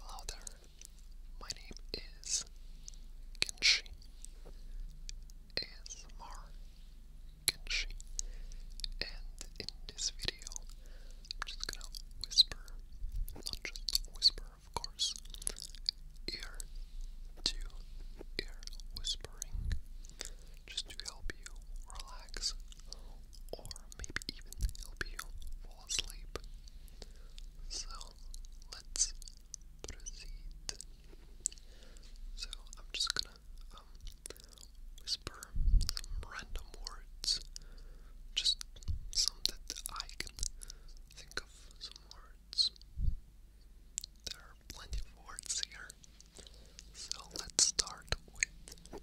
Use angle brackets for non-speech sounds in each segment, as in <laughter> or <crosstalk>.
Hello there, my name is Genshi ASMR Genshi, and in this video, I'm just gonna whisper, not just whisper, of course, ear to ear whispering, just to help you relax, or maybe even help you fall asleep. So let's proceed. So I'm just gonna um, whisper some random words, just some that I can think of. Some words. There are plenty of words here. So let's start with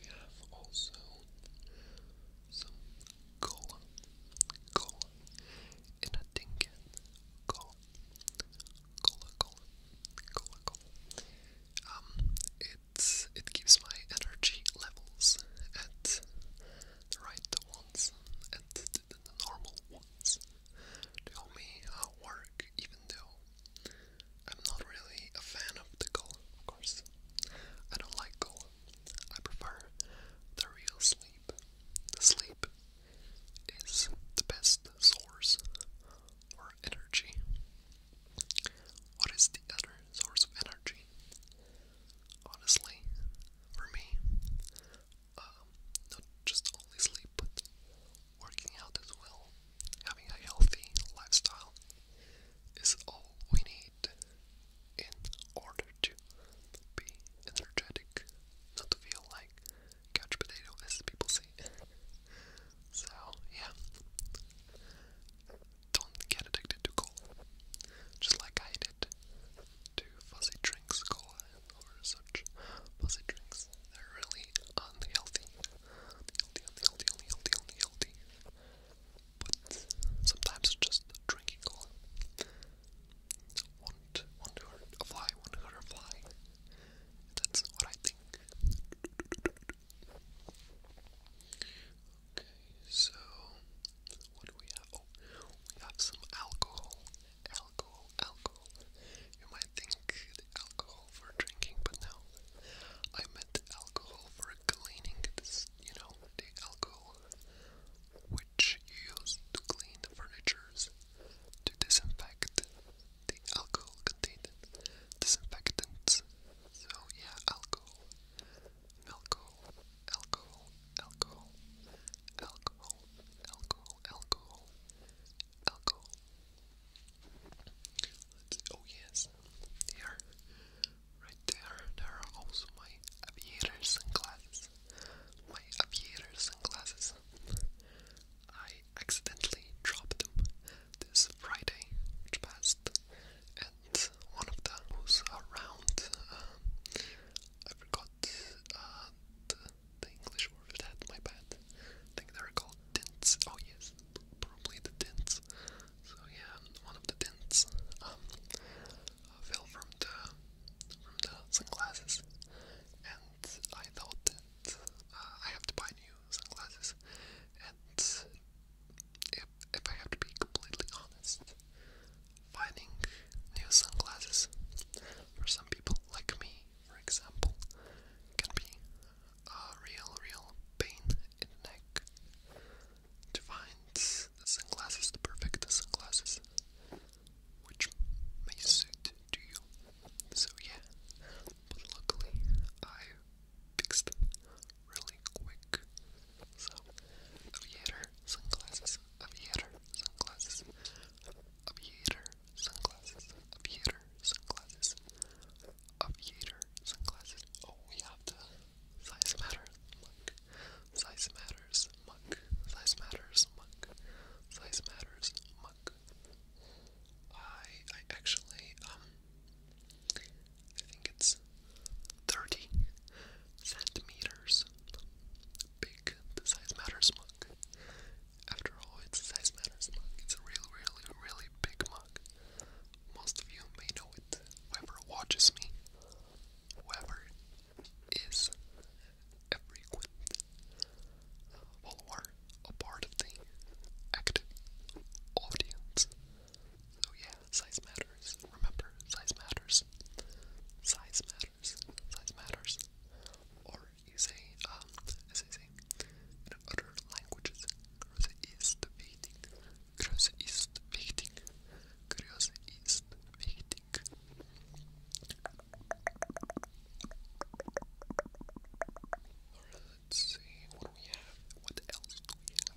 we have also some cola, cola, and a tinkin, cola, cola, cola, cola, Um, it's it keeps my energy levels at the right ones, at the, normal ones. Tell me how work even though I'm not really a fan of the gold, of course. I don't like gold. I prefer the real sleep. The sleep is the best source for energy. What is the other source of energy? Honestly, for me, uh, not just only sleep, but working out as well, having a healthy lifestyle is all we need in order to be energetic, not to feel like couch potato as people say. <laughs> so yeah, don't get addicted to cola, just like I did to fuzzy drinks, cola or such fuzzy drinks they're really unhealthy. Unhealthy, unhealthy, unhealthy, unhealthy. But sometimes just drinking cola. Want, want to hurt a fly, want to hurt a fly. That's what I think. Okay, so what do we have? Oh, we have some alcohol. Alcohol, alcohol. You might think alcohol alcohol for drinking, but no. I meant alcohol for cleaning you know, the alcohol which you use to clean furnitures, to disinfect the alcohol contained disinfectants. So yeah, alcohol, alcohol, alcohol, alcohol, alcohol, alcohol, alcohol, alcohol. oh yes, there, right there, there are also my aviator sunglasses. My aviator sunglasses. I accidentally dropped them this Friday, which and one of them was around. Um, I forgot uh, the, English word for that. My bad. I think they're called tints. Oh yes, probably the tints. So yeah, one of the tints um, fell from the from the sunglasses, and I thought that uh, I have to buy new sunglasses. And if if I have to be completely honest, finding new sunglasses for some people like me, for example, can be a real, real pain in the neck to find sunglasses, the perfect sunglasses, which may suit you. So yeah, but luckily I fixed them really quick. So aviator sunglasses, aviator sunglasses, aviator sunglasses, aviator sunglasses, aviator sunglasses. Oh, we have the size matters mug. Size matters mug. Size matters mug. Size matters mug. I I actually um I think it's thirty centimeters big. The size matters mug after all, it's size matters mug. It's a really, really, really big mug. Most of you may know it. Whoever watches me, whoever is a frequent follower, a part of the active audience. So yeah, size matters. Remember, size matters. Size matters. Size matters. Or or is um, as I say, in other languages, Größe ist wichtig, Größe ist wichtig, Größe ist wichtig. let's see, what we have? What else do we have?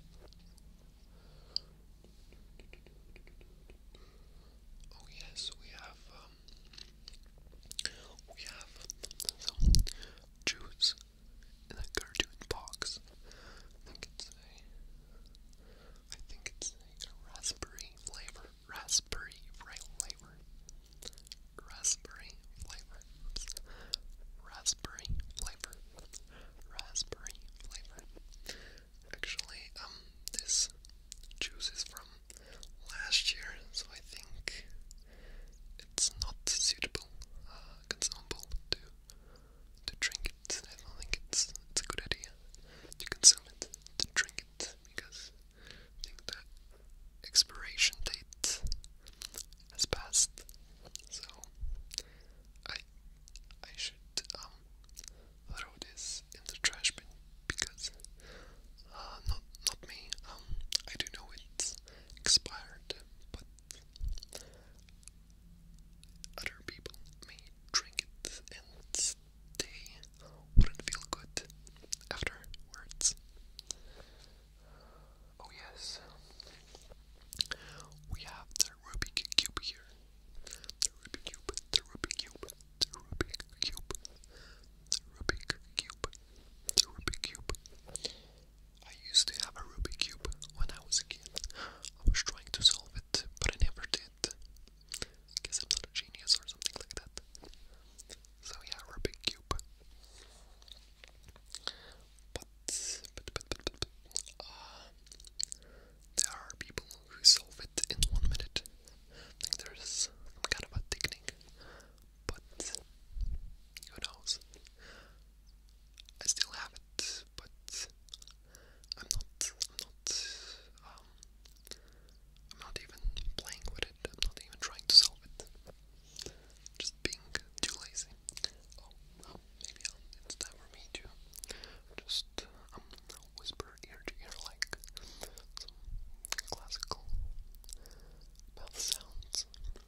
Oh yes, we have, um, we have juice in a cartoon box. I think it's a, I think it's a raspberry flavor, raspberry flavor, raspberry flavor, raspberry flavor, raspberry flavor. Actually, um, this juice is from last year, so I think it's not suitable, consumable uh, to to drink I don't think it's it's a good idea to consume it, to drink it, because the expiration date has passed. So I I should um throw this in the trash bin because uh, not, not me. Um, I do know it's expired, but other people may drink it and they wouldn't feel good afterwards. Oh yes, we have the Rubik Cube here. The Rubik Cube, the Rubik Cube, the Rubik Cube, the Rubik Cube, the Rubik Cube. I used to have a Rubik's Cube when I was a kid. I was trying to solve it, but I never did. Guess I'm not a genius or something like that. So yeah, Rubik's Cube. But, uh, there are people who solve it in one minute. there's some kind of a technique but who knows? I still have it, but I'm not, I'm not, um, I'm not even playing with it. I'm not even trying to solve it. just being too lazy. Oh, maybe it's time for me to just um, whisper ear to ear like some classical mouth sounds.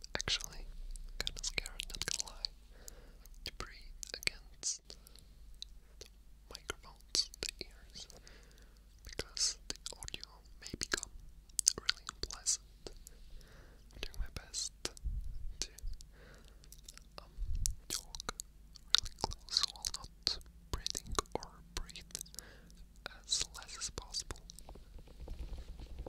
I'm actually kind of scared, not gonna lie, to against microphones, the ears, because the audio may become really unpleasant. doing my best to um, talk really close while not breathing or breathe as less as possible.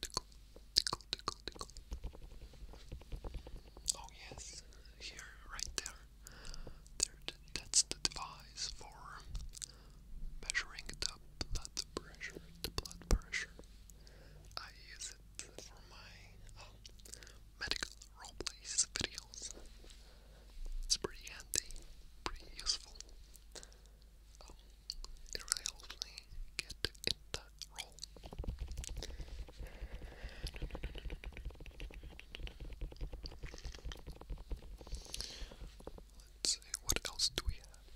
tickle, tickle, Oh yes, here, right there. that's the device for measuring the blood pressure. The blood pressure. I use it for my um, medical roleplays videos. It's pretty handy, pretty useful. Um, it really helps get in role. Let's see, what else do we have?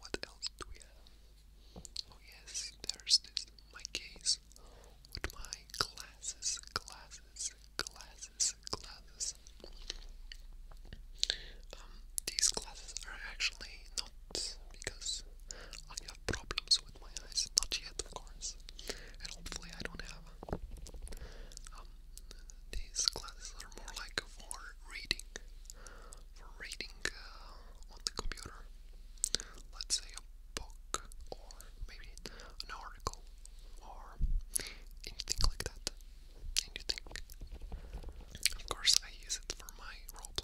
What else do we have? Oh yes, there's this, my case with my glasses, glasses, glasses, glasses. Um, these glasses are actually because I have problems with my eyes. Not yet, of course. And hopefully, I don't have. Um, these classes are more like for reading, for reading uh, on the computer. Let's say a book, or maybe an article, or anything like that. Anything. Of course, I use it for my role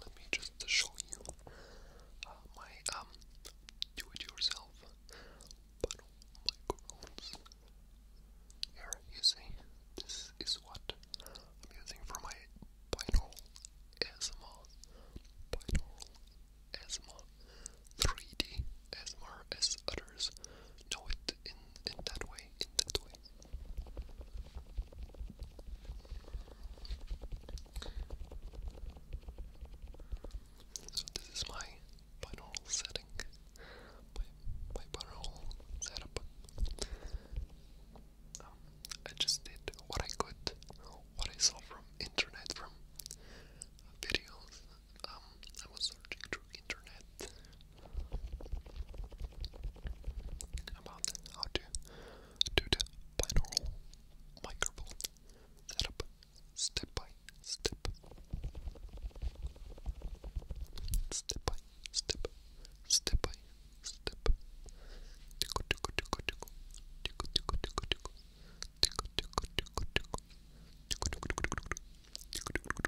let me just show you uh, my um do-it-yourself panel microphones. Here you see, this is what I'm using for my binaural ASMR, binaural ASMR, 3D ASMR as others know it in in that way, in that way. So this is my binaural setting. My, my binaural setup. Um, I just did what I could, what I saw from internet, from videos. Um, I was searching through internet about how to due to binaural microphone setup step by step. Step by step. Step by step. Tickle, tickle, tickle, tickle. Tickle, tickle, tickle, tickle. Tickle, tickle, tickle, tickle. Tickle, tickle, tickle, tickle. Tickle, tickle, tickle, tickle. Tickle, tickle,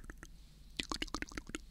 tickle, tickle.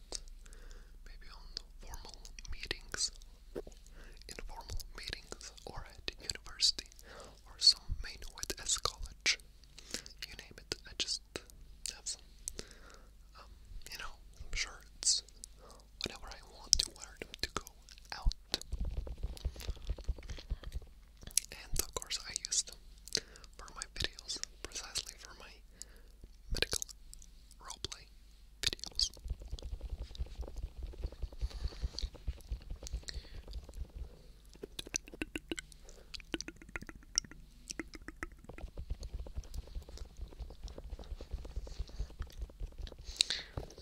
out. Maybe on formal meetings, informal meetings, or at university, or some main with S college. You name it. I just have some. Um, you know, shirts, whatever I want to wear to go out. And of course, I use them for my videos, precisely for my medical roleplay videos.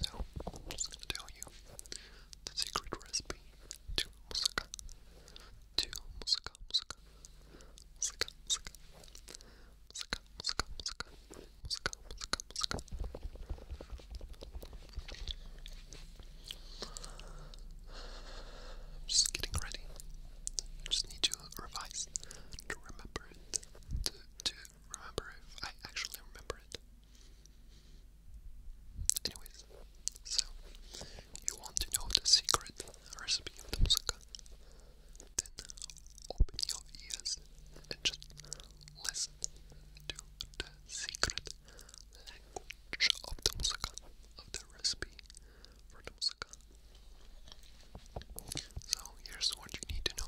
So, I'm just going to tell you the secret recipe to moussaka. To moussaka, moussaka, I'm just getting ready. just need to revise to remember it. To, remember if I actually remember it. Anyways, so you want to know the secret recipe of the moussaka? then open your ears and just listen to the secret language of the moussaka, of the recipe for the moussaka. So here's what you need to know.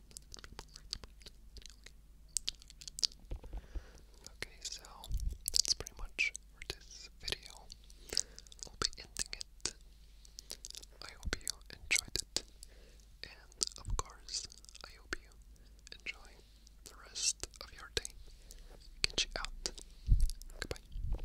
Okay, so that's pretty much for this video. We'll be ending it. I hope you enjoyed it. And of course, I hope you enjoy the rest of your day. Catch you out. Goodbye.